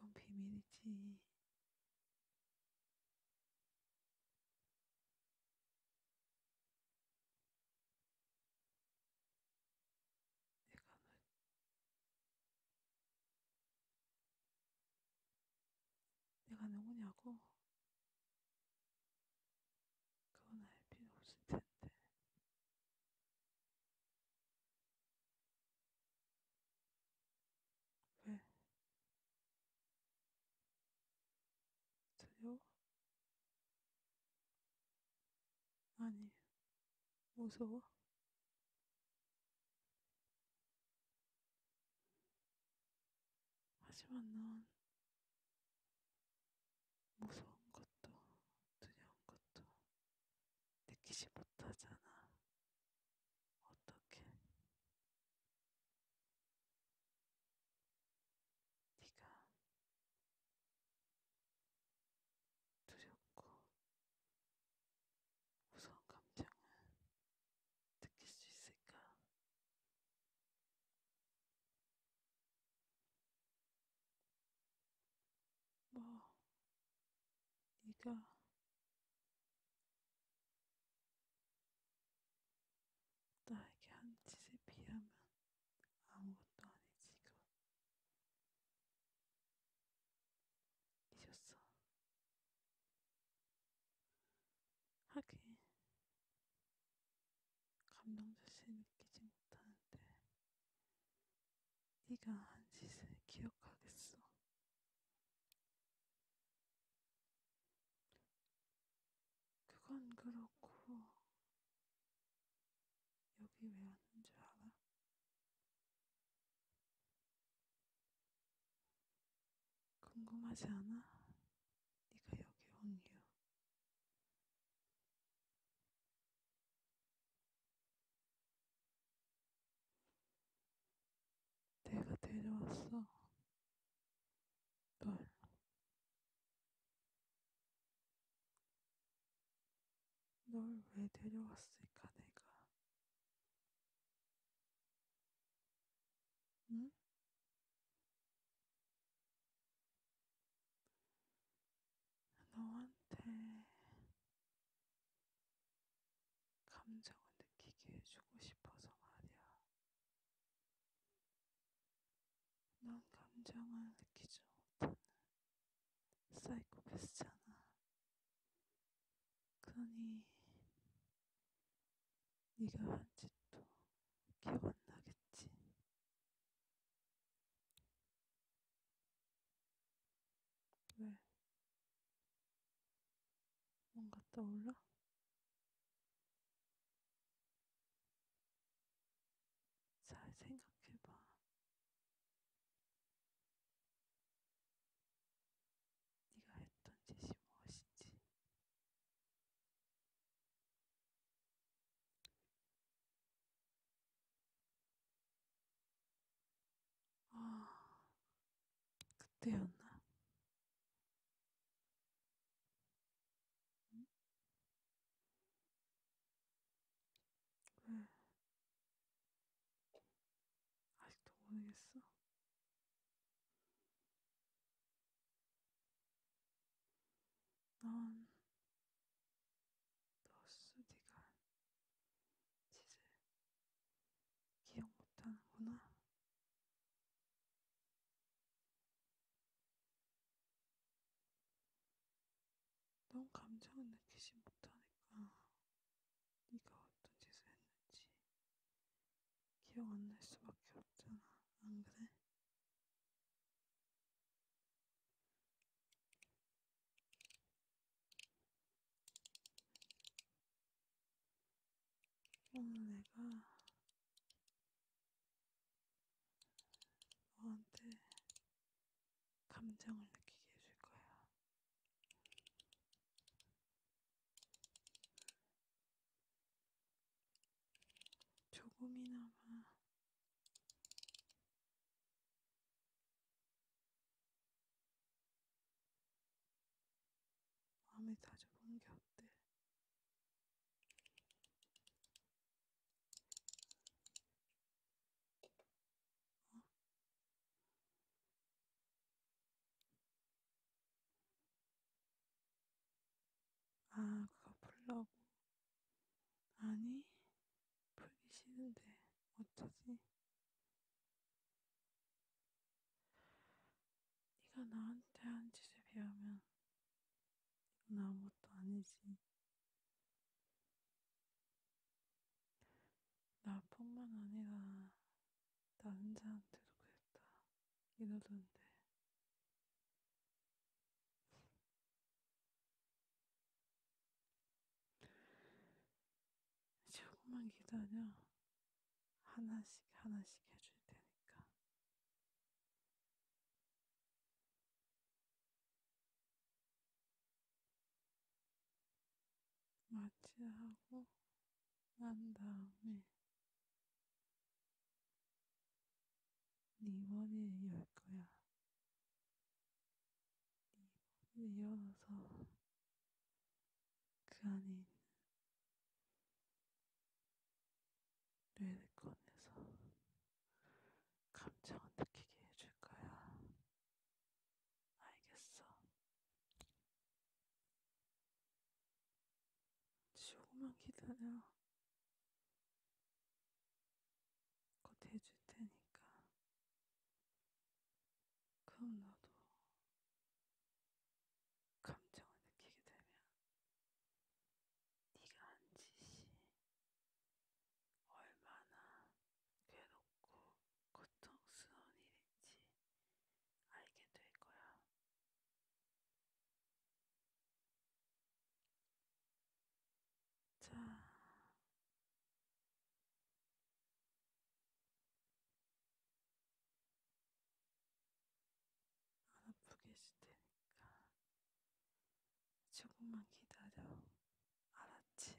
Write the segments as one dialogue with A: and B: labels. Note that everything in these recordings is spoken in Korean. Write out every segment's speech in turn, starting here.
A: 그건 비밀이지. 내가 누구냐고? 그건 알 필요 없을 텐데. 왜? 두려워? 아니, 무서워? 하지만 넌 무서운 것도 두려운 것도 느끼지 못하잖아. 어떻게? 네가 두렵고 무서운 감정을 느낄 수 있을까? 뭐 네가 나에게 한 짓에 비하면 아무것도 아니지 그건 잊었어 하긴 감정 자체 느끼지 못하는데 네가 한 짓을 기억하겠어. 그건 그렇고 여기 왜 왔는 줄 알아? 궁금하지 않아? 네가 여기 온 이유. 내가 데려왔어. 널. 널 왜 데려왔을까, 내가.
B: 응? 너한테
A: 감정을 느끼게 해주고 싶어서 말이야. 넌 감정을 느끼지 못하는 사이코패스잖아. 그러니 네가 한 짓도 기억안 나겠지. 왜? 뭔가 떠올라? 잘 생각해봐.
B: 네가 했던 짓이 무엇인지.
A: 아, 그때였나?
B: 응? 왜?
A: 아직도 모르겠어. 넌 너스디가 짓을 기억 못하는구나. 넌 감정을 느끼지 못하니까 네가 어떤 짓을 했는지 기억 안 날 수밖에 없잖아. 안 그래?
B: 오늘 내가
A: 너한테 감정을 느끼게 해줄 거야. 조금이나마 마음에 다져보는 게 어때? 어? 아, 그거 풀라고. 아니, 풀기 싫은데, 어쩌지? 네가 나한테 한 짓에 비하면 이건 아무것도 아니지. 나뿐만 아니라 남자한테도 그랬다. 이러던데. 조금만 기다려. 하나씩 하나씩
B: 해줄 테니까.
A: 마취하고 난 다음에 네 머리를 열 거야. 네 머리를 열어서 그 안에 있는 뇌를 꺼내서 감정을 느끼게 해줄 거야.
B: 알겠어.
A: 조금만 기다려. 곧 해줄 테니까. 그럼 너도 감정을 느끼게 되면 네가 한 짓이 얼마나 괴롭고
B: 고통스러운 일인지 알게 될 거야. 자. 안
A: 아프게 해줄 테니까. 조금만 기다려. 알았지?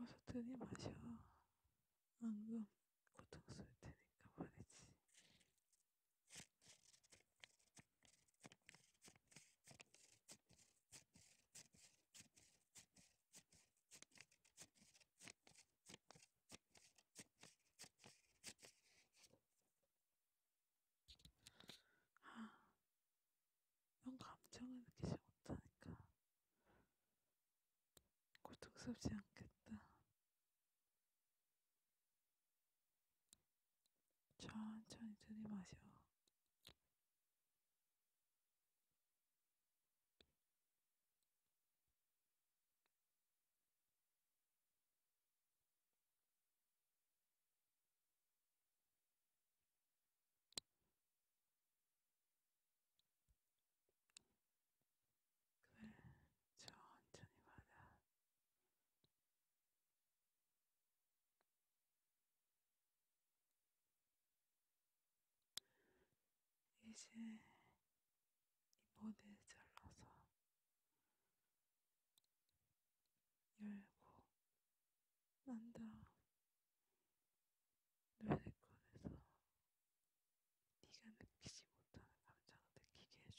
A: 어서 들이마셔. 방금 고통 쓸 테니까 말이지. 아, 이런 감정을 느끼지 못하니까 고통스럽지 않겠다. 천천히 들이마셔. 그래, 천천히 받아. 이제 이번에 잘라서 열고 난 다음 노래 꺼내서 네가 느끼지 못하는 감정을 느끼게 해줄게 알았지?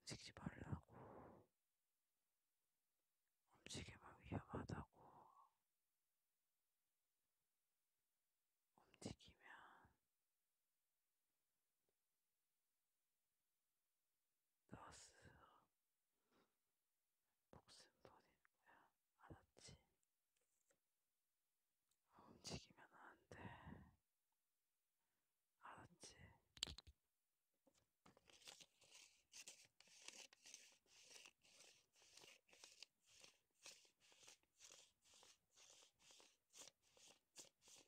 A: 움직이지 말라고. 움직이면 위험하다고. 움직이면 너스 목숨 버릴 거야. 알았지? 아, 움직이면 안 돼. 알았지?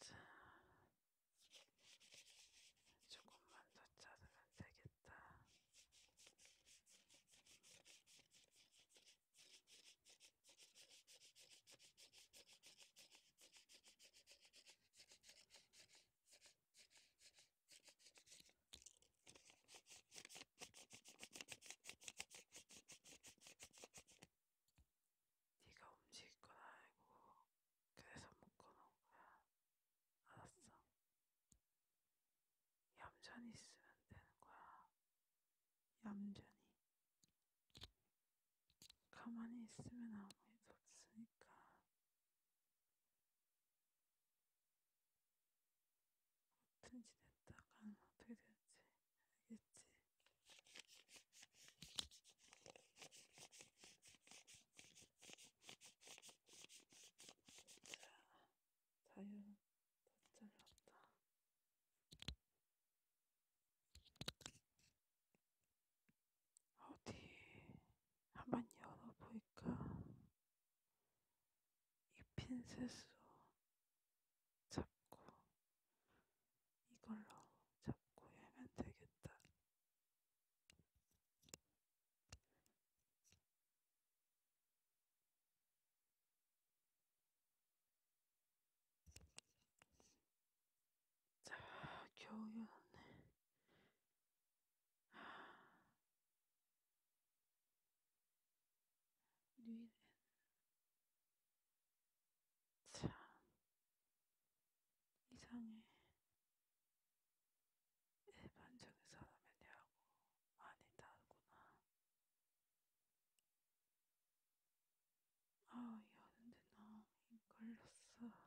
B: 자, 조금만 더 자르면 되겠다.
A: 네가 움직일 건 알고 그래서 묶어놓은 거야. 알았어. 얌전히 있으면 되는 거야. 얌전히. 가만히 있으면 아무 일도 없으니까. 어떤 지냈다간 어떻게 될지 알겠지? 자, 자유. 어디 한번 열어볼까? 이 핀셋으로 잡고 이걸로 잡고 열면 되겠다. 자, 겨우였네. 뉘 참, 이상해. 일반적인 사람이냐고 많이 다르구나. 아, 여는데 너무
B: 힘 걸렸어.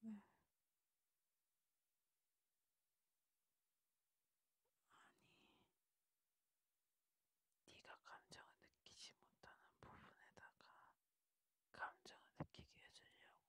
B: 네.
A: 아니, 네가 감정을 느끼지 못하는 부분에다가 감정을 느끼게 해주려고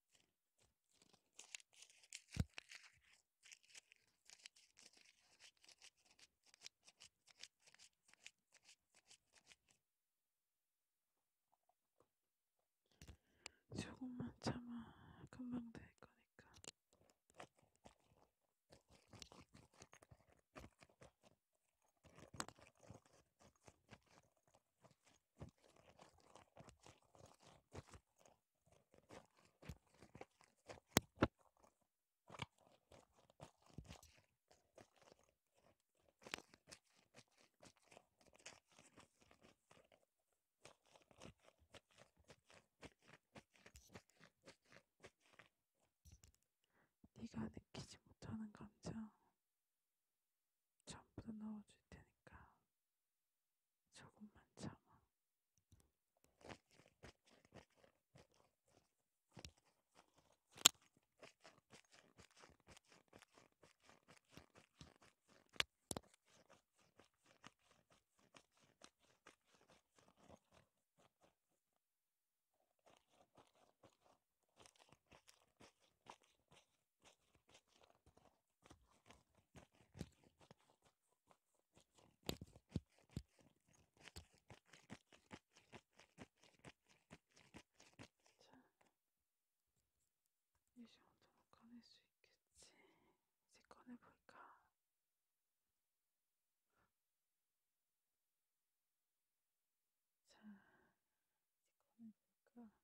A: 조금만 참아 금방 될 거니까. 네가 느끼지 못하는 감정 전부 넣어줄 테니까 조금만 참아. 자, 이 정도는 꺼낼 수 있겠지. 이제
B: 꺼내볼까? 자, 이제 꺼내볼까?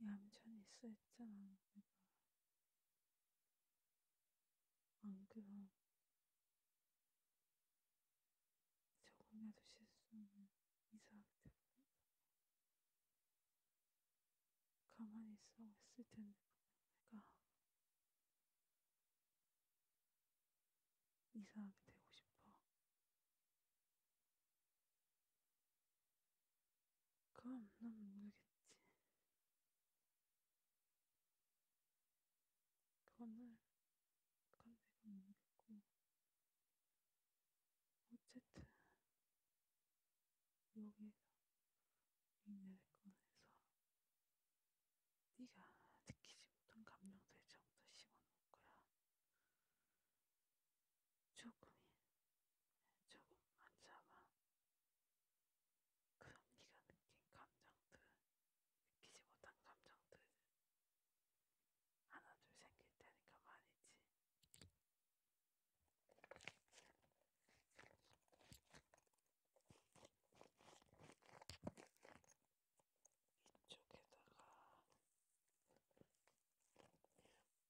A: 얌전히 있어 했잖아 내가 안 그럼 조금이라도 실수하면 이상하게 될거다 가만히 있어 했을 텐데 내가 이상하게 되고 싶어 그럼 난 모르겠지. 그건 날, 그건 내가 모르겠고. 어쨌든, 여기에서 니네를 꺼내서 네가 느끼지 못한 감정들을 전부 다 심어놓을 거야. 조금이 조금만 참아. 그럼 네가 느낀 감정들, 느끼지 못한 감정들 하나 둘 생길 테니까 말이지. 이쪽에다가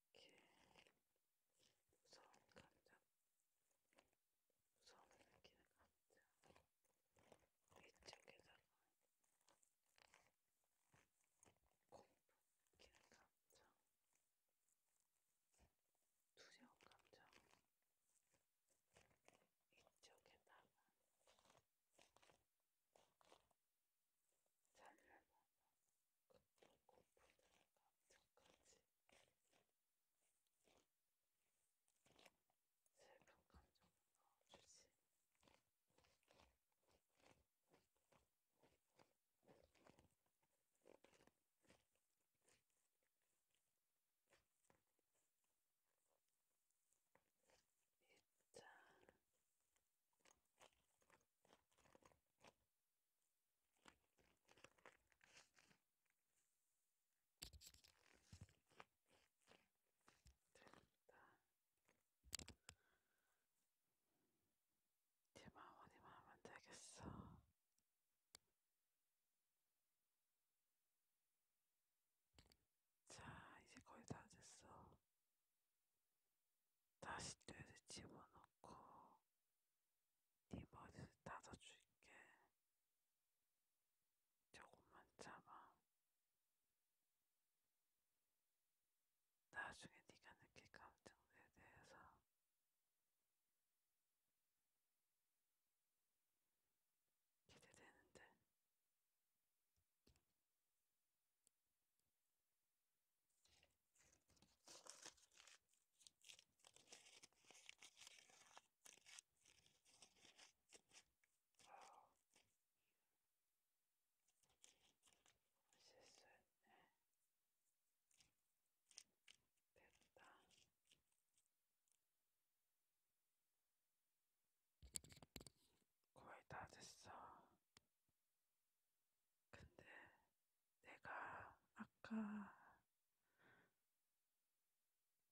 A: 길, 무서운 감정, 무서움을 느끼는 감정, 이쪽에다가 공포 느끼는 감정, 두려운 감정, 이쪽에다가 잘려나 끝나고 부대가 감정까지 슬픈 감정을 넣어주지 밑장 됐다. 네마음 어디만 하면 되겠어. 자, 이제 거의 다 됐어. 다시 뇌를 집어넣어. 놓고 네 머리를 다져줄게. 조금만 참아. 나중에 네가 느낄 감정에 대해서 기대되는데 거의 다 됐어. 근데 내가 아까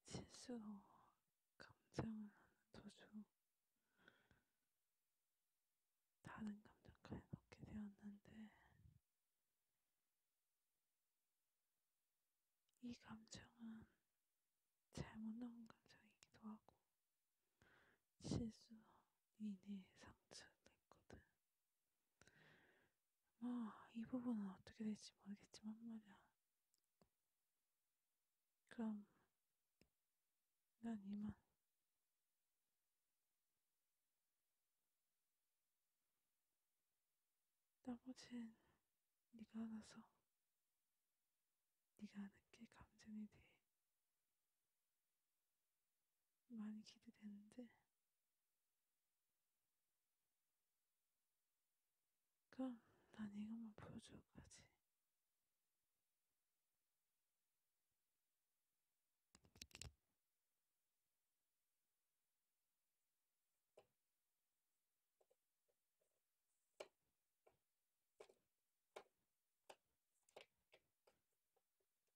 A: 실수로 감정을 도중 다른 감정까지 넣게 되었는데 이 감정은 잘못 넣은 감정이기도 하고 실수로 니네 상처를 냈거든. 뭐, 아, 이 부분은 어떻게 될지 모르겠지만 말이야. 그럼, 난 이만. 나머진 네가 알아서 네가 느낄 감정에 대해 많이 기대되는데 그럼 난 이것만 보여줘까지